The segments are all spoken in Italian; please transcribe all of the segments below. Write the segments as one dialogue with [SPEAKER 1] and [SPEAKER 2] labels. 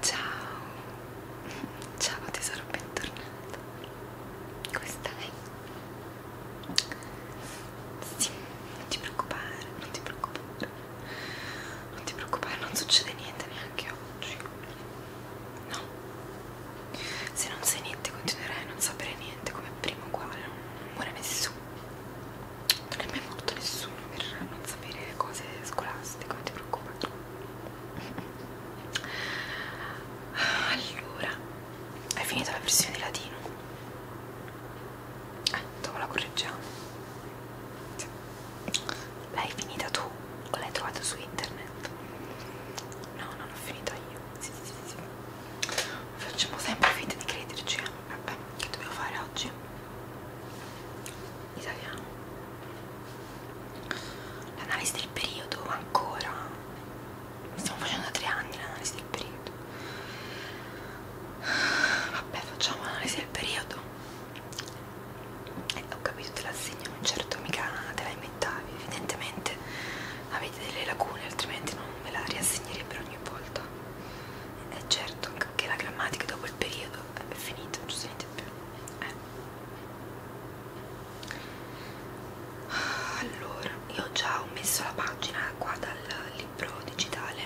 [SPEAKER 1] Ciao, ciao tesoro, bentornato. Questa è. Sì, non ti preoccupare, non ti preoccupare, non ti preoccupare, non succede niente neanche oggi. No, se non sai niente, continuerai a non sapere niente come prima, uguale, non muore nessuno non è mai morto nessuno per non sapere cose scolastiche, non ti preoccupare. Allora, hai finito la versione di latino? Eh, dopo la correggiamo. Sì. L'hai finita tu o l'hai trovata su internet? No, non l'ho finita io. Sì, sì, sì, sì. Facciamo sempre finta di crederci. Eh? vabbè che dobbiamo fare oggi italiano l'analisi del periodo ancora stiamo facendo da tre anni l'analisi del periodo vabbè facciamo l'analisi del periodo eh, ho capito te l'assegno non certo mica te la inventavi evidentemente avete delle lacune altrimenti non me la riassegnerebbero ogni volta è eh, certo che la grammatica dopo il periodo è finita, non si sente più. Eh. Allora, io già ho messo la pagina qua dal libro digitale,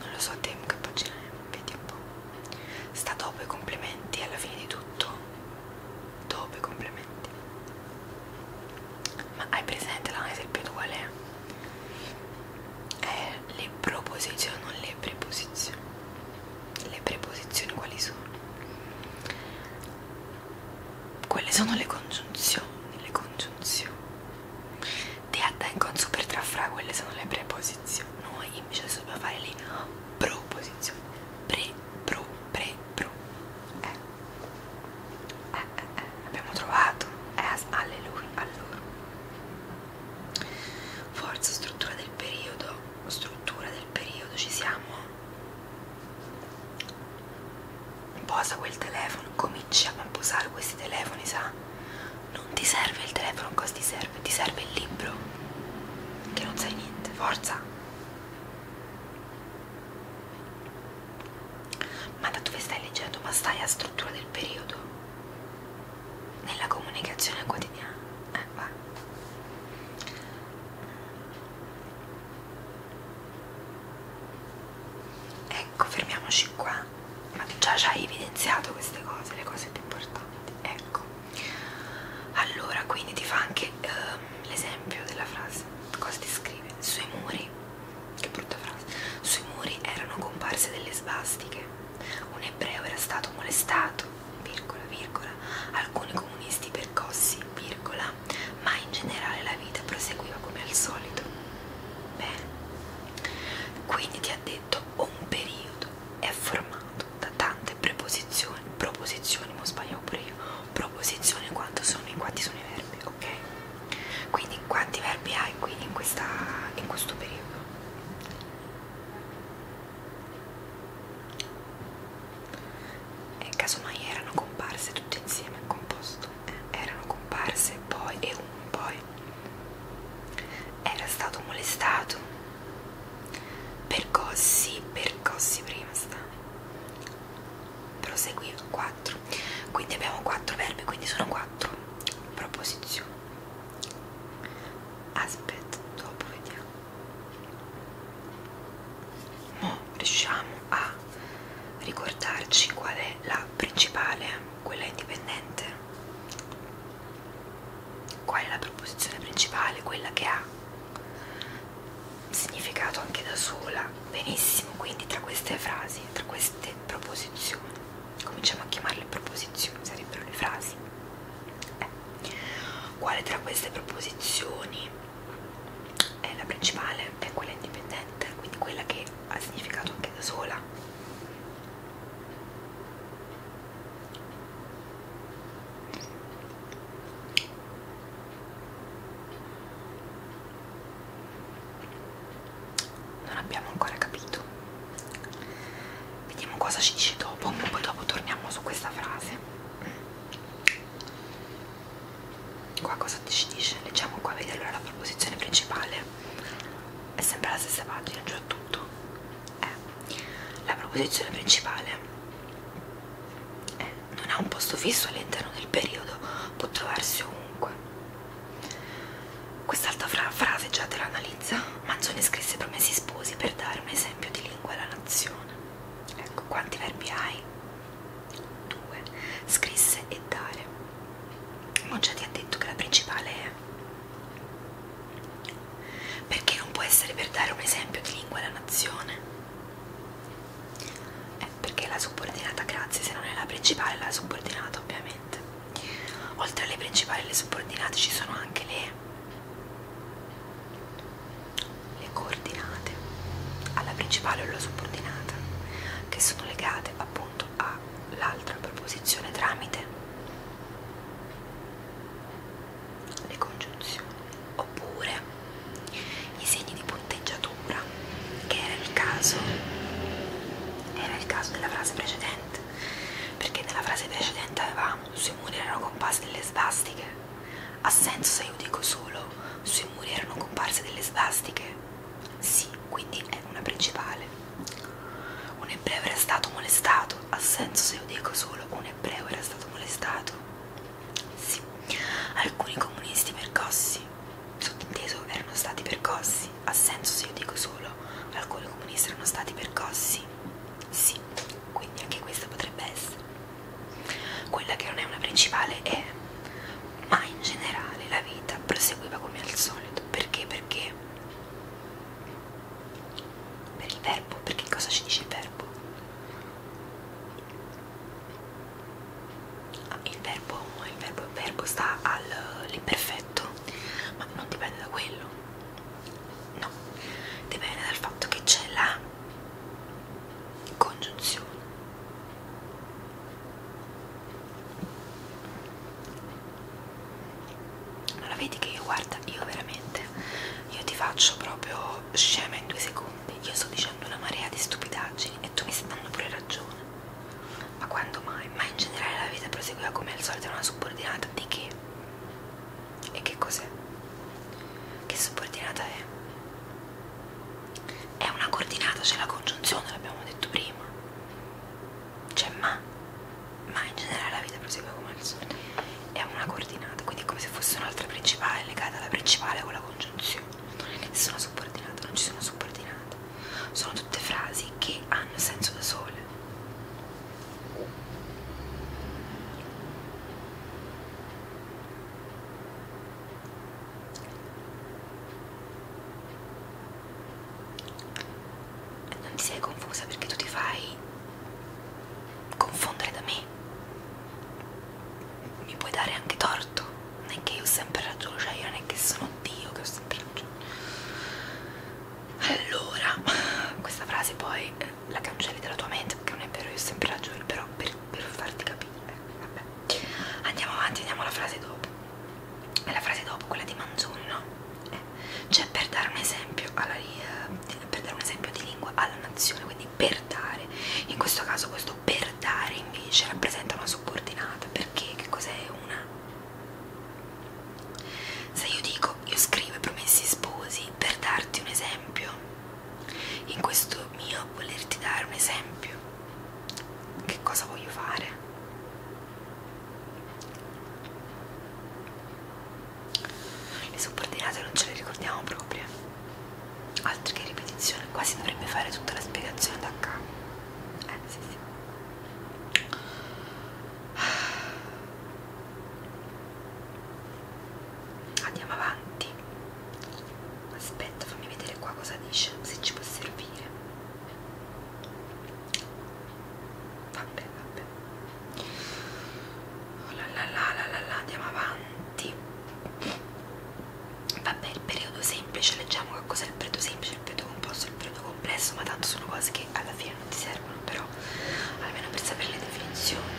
[SPEAKER 1] non lo so a te che pagina è, vedi un po'. Sta dopo i complimenti, alla fine di tutto, dopo i complimenti. Ma hai presente la esempio qual è? è eh, le proposizioni, non le preposizioni. Le preposizioni quali sono? Quelle sono le congiunzioni, le congiunzioni. Te attengo un super trafra, quelle sono le preposizioni. Noi invece dobbiamo fare le proposizioni. Pre, pro, pre, pro. Eh. Eh, eh, eh, abbiamo trovato es, eh, alleluia allora forza struttura del periodo struttura del periodo ci siamo posa quel telefono cominciamo a posare questi telefoni sa non ti serve il telefono cosa ti serve ti serve il libro che non sai niente forza ma da dove stai leggendo? Ma stai a struttura del periodo? Nella comunicazione quotidiana? Eh, va. Ecco, fermiamoci qua. Ma già ci hai evidenziato queste cose, le cose più importanti. Ecco. Allora, quindi ti fa anche ehm, l'esempio della frase. Cosa ti scrive? Sui muri che brutta frase, sui muri erano comparse delle svastiche, un ebreo era stato molestato, virgola, virgola, alcuni comunisti percossi, virgola, ma in generale la vita proseguiva come al solito. Bene, quindi ti ha detto un periodo è formato da tante preposizioni, proposizioni, non sbaglio pure io, proposizioni quanto sono, in quanti sono i verbi, ok? Quindi quanti verbi hai qui in, questa, in questo periodo? E eh, casomai erano comparse tutte insieme, composto, eh? erano comparse poi e un poi. Era stato molestato, percossi, percossi prima sta. Proseguiva 4 quindi abbiamo 4 verbi quindi sono 4 proposizioni aspetta dopo vediamo mo riusciamo a ricordarci qual è la principale quella indipendente qual è la proposizione principale quella che ha significato anche da sola benissimo quindi tra queste frasi tra queste proposizioni cominciamo a chiamarle proposizioni sarebbero le frasi eh. quale tra queste proposizioni è la principale è quella indipendente quindi quella che ha significato anche da sola non abbiamo ancora capito vediamo cosa ci dice dopo poi dopo torniamo su questa frase qua cosa ci dice leggiamo qua vedi allora la proposizione principale è sempre la stessa pagina già tutto eh, la proposizione principale è, non ha un posto fisso all'interno del periodo può trovarsi ovunque Quest'altra fra frase già te l'analizza. Manzoni scrisse promessi sposi per dare un esempio di lingua alla nazione. Ecco, quanti verbi hai? Due. Scrisse e dare. Mongia ti ha detto che la principale è. Perché non può essere per dare un esempio di lingua alla nazione? eh, perché è la subordinata grazie se non è la principale è la subordinata ovviamente oltre alle principali e le subordinate ci sono anche le le coordinate alla principale o alla subordinata che sono legate appunto all'altra proposizione tramite le congiunzioni oppure i segni di punteggiatura ombra, che era il caso, era il caso della frase precedente, perché nella frase precedente avevamo sui muri erano comparse delle svastiche. Ha senso se io dico solo sui muri erano comparse delle svastiche? Sì, quindi è una principale. Un ebreo era stato molestato? Ha senso se io dico solo un ebreo era stato molestato? Sì. Alcuni comunisti percossi? sottinteso erano stati percossi. Ha senso se io dico solo alcuni comunisti erano stati percossi? Sì, quindi anche questa potrebbe essere. Quella che non è una principale è, ma in generale la vita proseguiva come al solito. Perché? Perché? Per il verbo, perché cosa ci dice il verbo? ah, il verbo il verbo, il verbo sta all'imperfetto ma non dipende da quello no dipende dal fatto che c'è la congiunzione non la vedi che io guarda io veramente io ti faccio proprio scema in due secondi io sto dicendo una marea di stupidaggini e tu mi stai dando pure ragione ma quando mai? Ma in generale la vita proseguiva come al solito una subordinata di che? E che cos'è? Che subordinata è? È una coordinata, c'è cioè la congiunzione, l'abbiamo detto prima. Cioè ma, ma in generale la vita prosegue come al solito. È una coordinata, quindi è come se fosse un'altra principale legata alla principale con la congiunzione non è nessuno subordinato, non ci sono subordinate, sono tutte frasi che hanno senso da sole. Non ti sei confusa perché tu ti fai confondere da me. Mi puoi dare anche torto non è che io ho sempre ragione, cioè io non è che sono Dio che ho sempre ragione. Allora, questa frase poi eh, la cancelli dalla tua mente perché non è vero, io ho sempre ragione, però per, per farti capire, eh, vabbè. Andiamo avanti, andiamo alla frase dopo. E la frase dopo, quella di Manzoni, no? Eh. Cioè per dare un esempio alla eh, per dare un esempio di lingua alla nazione, quindi per dare. In questo caso questo per dare invece rappresenta una subordinata perché che cos'è una? Se io dico io scrivo i promessi sposi per darti un esempio, in questo mio volerti dare un esempio, che cosa voglio fare? Le subordinate non ce le ricordiamo proprio altro che ripetizione quasi dovrebbe fare tutta la spiegazione da capo eh sì sì andiamo avanti aspetta fammi vedere qua cosa dice se ci può servire vabbè vabbè oh la la la la la, la andiamo avanti vabbè il periodo semplice leggiamo che cos'è il periodo semplice il periodo composto il periodo complesso ma tanto sono cose che alla fine non ti servono però almeno per sapere le definizioni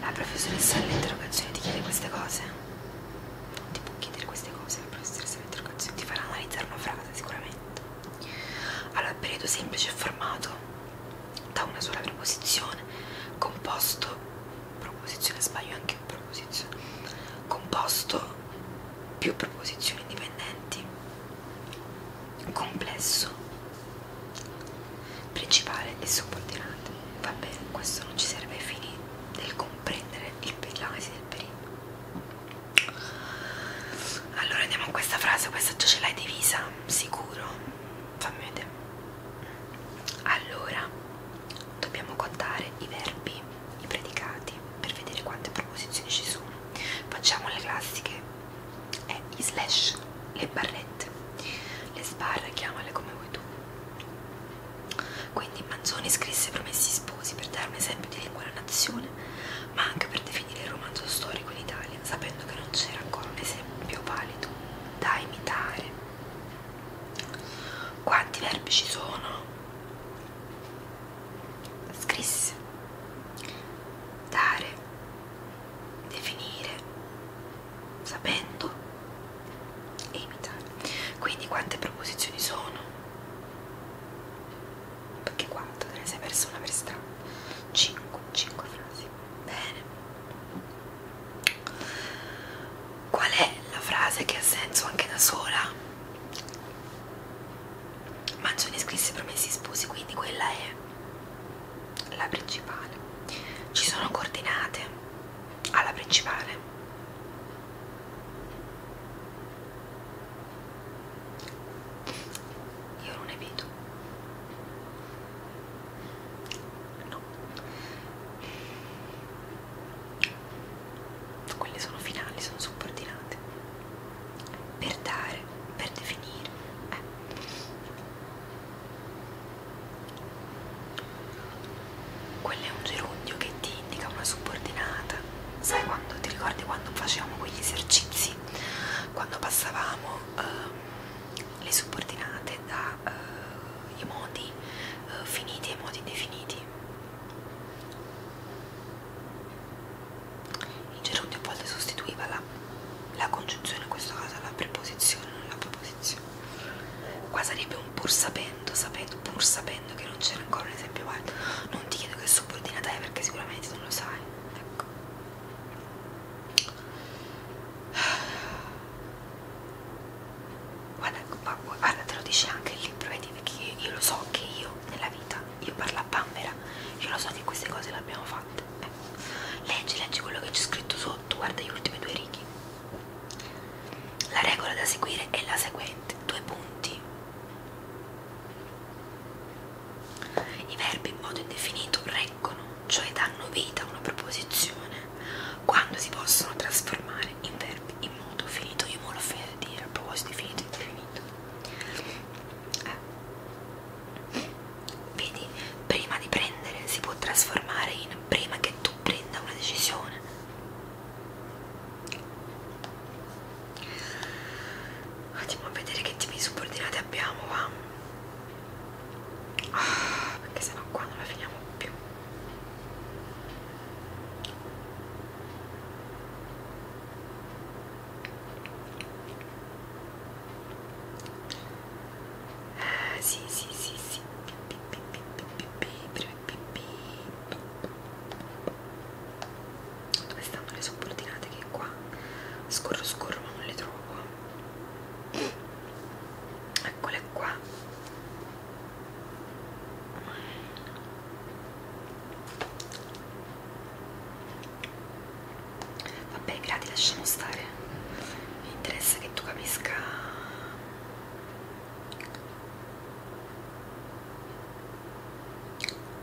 [SPEAKER 1] la professoressa all'interrogazione ti chiede queste cose non ti può chiedere queste cose la professoressa all'interrogazione ti farà analizzare una frase sicuramente allora il periodo semplice è formato da una sola preposizione composto proposizione, sbaglio anche un proposizione, composto, più proposizioni dipendenti, complesso, principale e subordinato. Vabbè, questo non ci serve ai fini del comprendere l'analisi del periodo. Allora andiamo a questa frase, questa già ce l'hai divisa, sicuro? Fammi vedere. Allora, Dobbiamo contare i verbi, i predicati, per vedere quante proposizioni ci sono. Facciamo le classiche, eh, i slash, le barrette, le sbarre, chiamale come vuoi tu. Quindi Manzoni scrisse Promessi sposi per dare un esempio di lingua alla nazione, ma anche per definire il romanzo storico in Italia, sapendo che non c'era ancora un esempio valido da imitare. Quanti verbi ci sono? Scrisse dare, definire, sapendo e imitare. Quindi quante proposizioni sono? Perché quanto te ne sei perso una per strada? 5, 5 frasi. Bene. Qual è la frase che ha senso anche da sola? Mangioni scrisse promessi sposi, quindi quella è la principale. Ci sono coordinate alla principale. Io non evito no quelle sono finali, sono subordinate per dare, per definire eh. quello è un gerundio che ti indica una subordinata sai quando, ti ricordi quando facevamo quegli esercizi quando passavamo ehm, le subordinate dai eh, modi eh, finiti ai modi definiti. In gerundio a volte sostituiva la, la congiunzione, in questo caso la preposizione, non la proposizione. Qua sarebbe un pur sapendo, sapendo, pur sapendo che non c'era ancora un esempio valido. Non ti chiedo che subordinata è perché sicuramente non lo sai. Ecco. Guarda, guarda, te lo dice anche il libro, vedi, perché io lo so che io nella vita, io parlo a Bambera, io lo so che queste cose le abbiamo fatte. Eh. Leggi, leggi quello che c'è scritto sotto, guarda gli ultimi due righi. La regola da seguire è la seguente, due punti. I verbi in modo indefinito reggono cioè danno vita a una proposizione, quando si possono trasformare in verbi in modo finito. Io me l'ho finito di dire a proposito di finito indefinito. Eh. Vedi, prima di prendere si può trasformare in prima che tu prenda una decisione. Andiamo a vedere che tipi di subordinate abbiamo qua ah, perché sennò qua non la finiamo più eh, sì sì sì sì dove stanno le subordinate che qua scorro scorro ma non le trovo eccole qua vabbè i gradi lasciamo stare mi interessa che tu capisca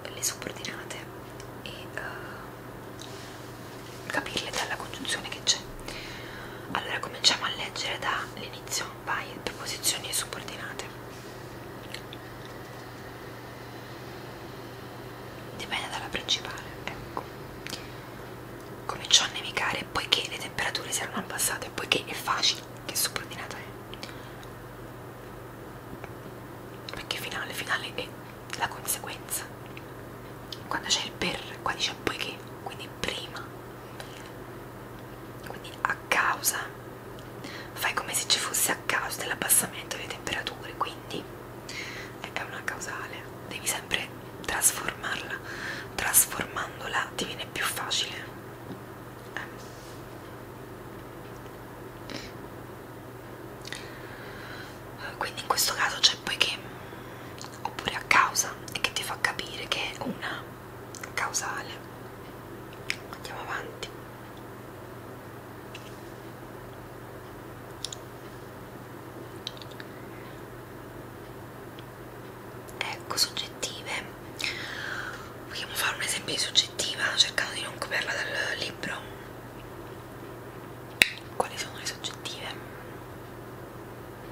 [SPEAKER 1] le subordinate e uh, capirle dalla congiunzione che c'è. Allora cominciamo a leggere dall'inizio, vai, preposizioni subordinate. Dipende dalla principale, ecco. Cominciò a nevicare poiché le temperature si erano abbassate, poiché è facile che subordinata è. Perché finale, finale è la conseguenza quando c'è il per qua dice poiché quindi prima quindi a causa fai come se ci fosse a causa dell'abbassamento delle temperature quindi è una causale devi sempre trasformarla trasformandola ti viene più facile eh. quindi in questo caso c'è poiché oppure a causa e che ti fa capire che è una causale andiamo avanti ecco soggettive vogliamo fare un esempio di soggettiva cercando di non copiarla dal libro quali sono le soggettive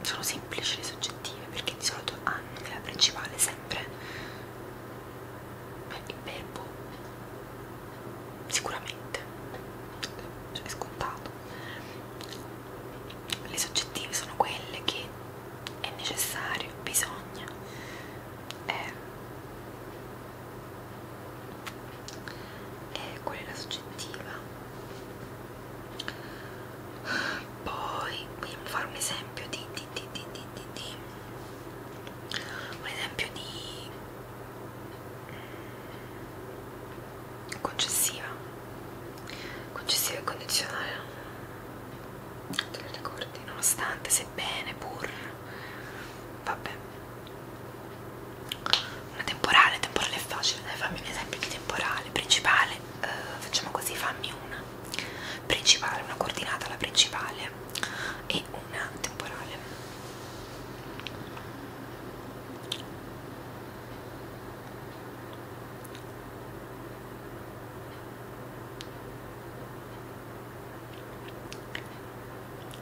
[SPEAKER 1] sono semplici le soggettive perché di solito hanno nella principale sempre beh, il verbo sicuramente cioè è scontato le soggettive sono quelle che è necessario bisogna eh, eh, qual è la soggettiva poi vogliamo fare un esempio di, di, di, di, di, di, di un esempio di concessiva concessiva e condizionale non te le ricordi nonostante sebbene pur vabbè una temporale, temporale è facile, dai fammi un esempio di temporale. Principale, eh, facciamo così, fammi una. Principale, una coordinata alla principale e una temporale.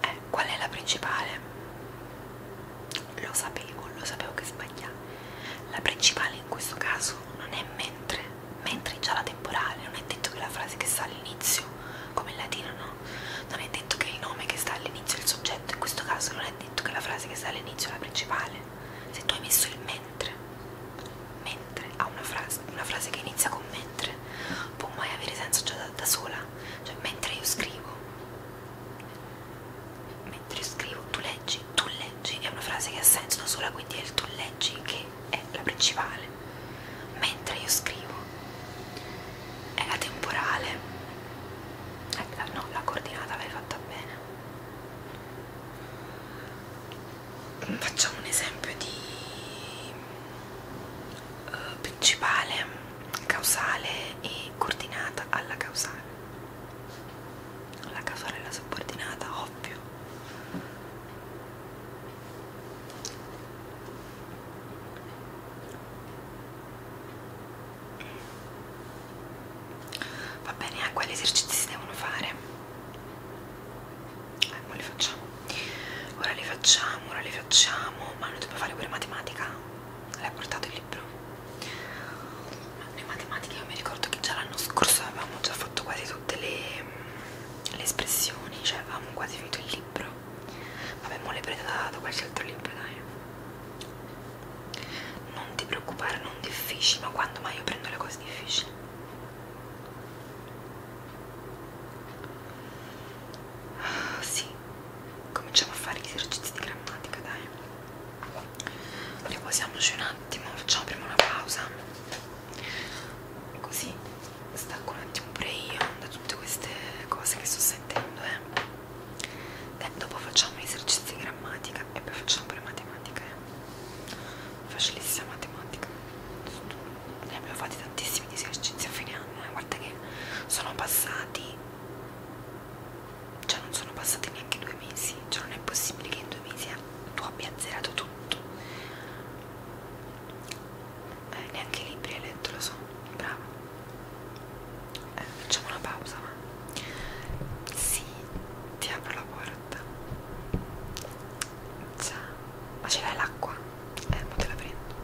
[SPEAKER 1] Eh, qual è la principale? lo sapevo, lo sapevo che sbagliavo. La principale in questo caso non è mentre, mentre è già la temporale, non è detto che la frase che sta all'inizio, come in latino no, non è detto che il nome che sta all'inizio è il soggetto, in questo caso non è detto che la frase che sta all'inizio è la principale. Se tu hai messo il mentre, mentre a una frase, una frase che inizia con mentre, può mai avere senso già da, da sola, cioè mentre io scrivo mentre scrivo tu leggi, tu leggi è una frase che ha senso sola quindi è il tu leggi che è la principale mentre io scrivo è la temporale eh, la, no la coordinata l'hai fatta bene facciamo un esempio di uh, principale causale e coordinata alla causale la casorella subordinata, ovvio va bene, eh, quali esercizi si devono fare? ecco eh, li facciamo ora li facciamo, ora li facciamo ma non dobbiamo fare pure matematica? l'hai portato il libro le matematiche io mi ricordo che già l'anno scorso avevamo già fatto quasi tutte le, mm, le espressioni cioè avevamo quasi finito il libro vabbè mo le prendo da, da qualche altro libro dai non ti preoccupare non difficile ma quando mai io prendo le cose difficili sì cominciamo a fare gli esercizi di grammatica, dai. Riposiamoci un attimo, facciamo prima una pausa. Così stacco un attimo pure io da tutte queste cose che sto sentendo, eh. E dopo facciamo gli esercizi di grammatica e poi facciamo pure matematica, eh. Facilissima matematica. Ne abbiamo fatti tantissimi di esercizi a fine anno, eh. guarda che sono passati cioè non sono passati neanche due mesi cioè non è possibile che in due mesi eh, tu abbia azzerato tutto eh, neanche i libri hai letto lo so bravo eh, facciamo una pausa ma sì ti apro la porta ciao ma ce l'hai l'acqua? eh ma te la prendo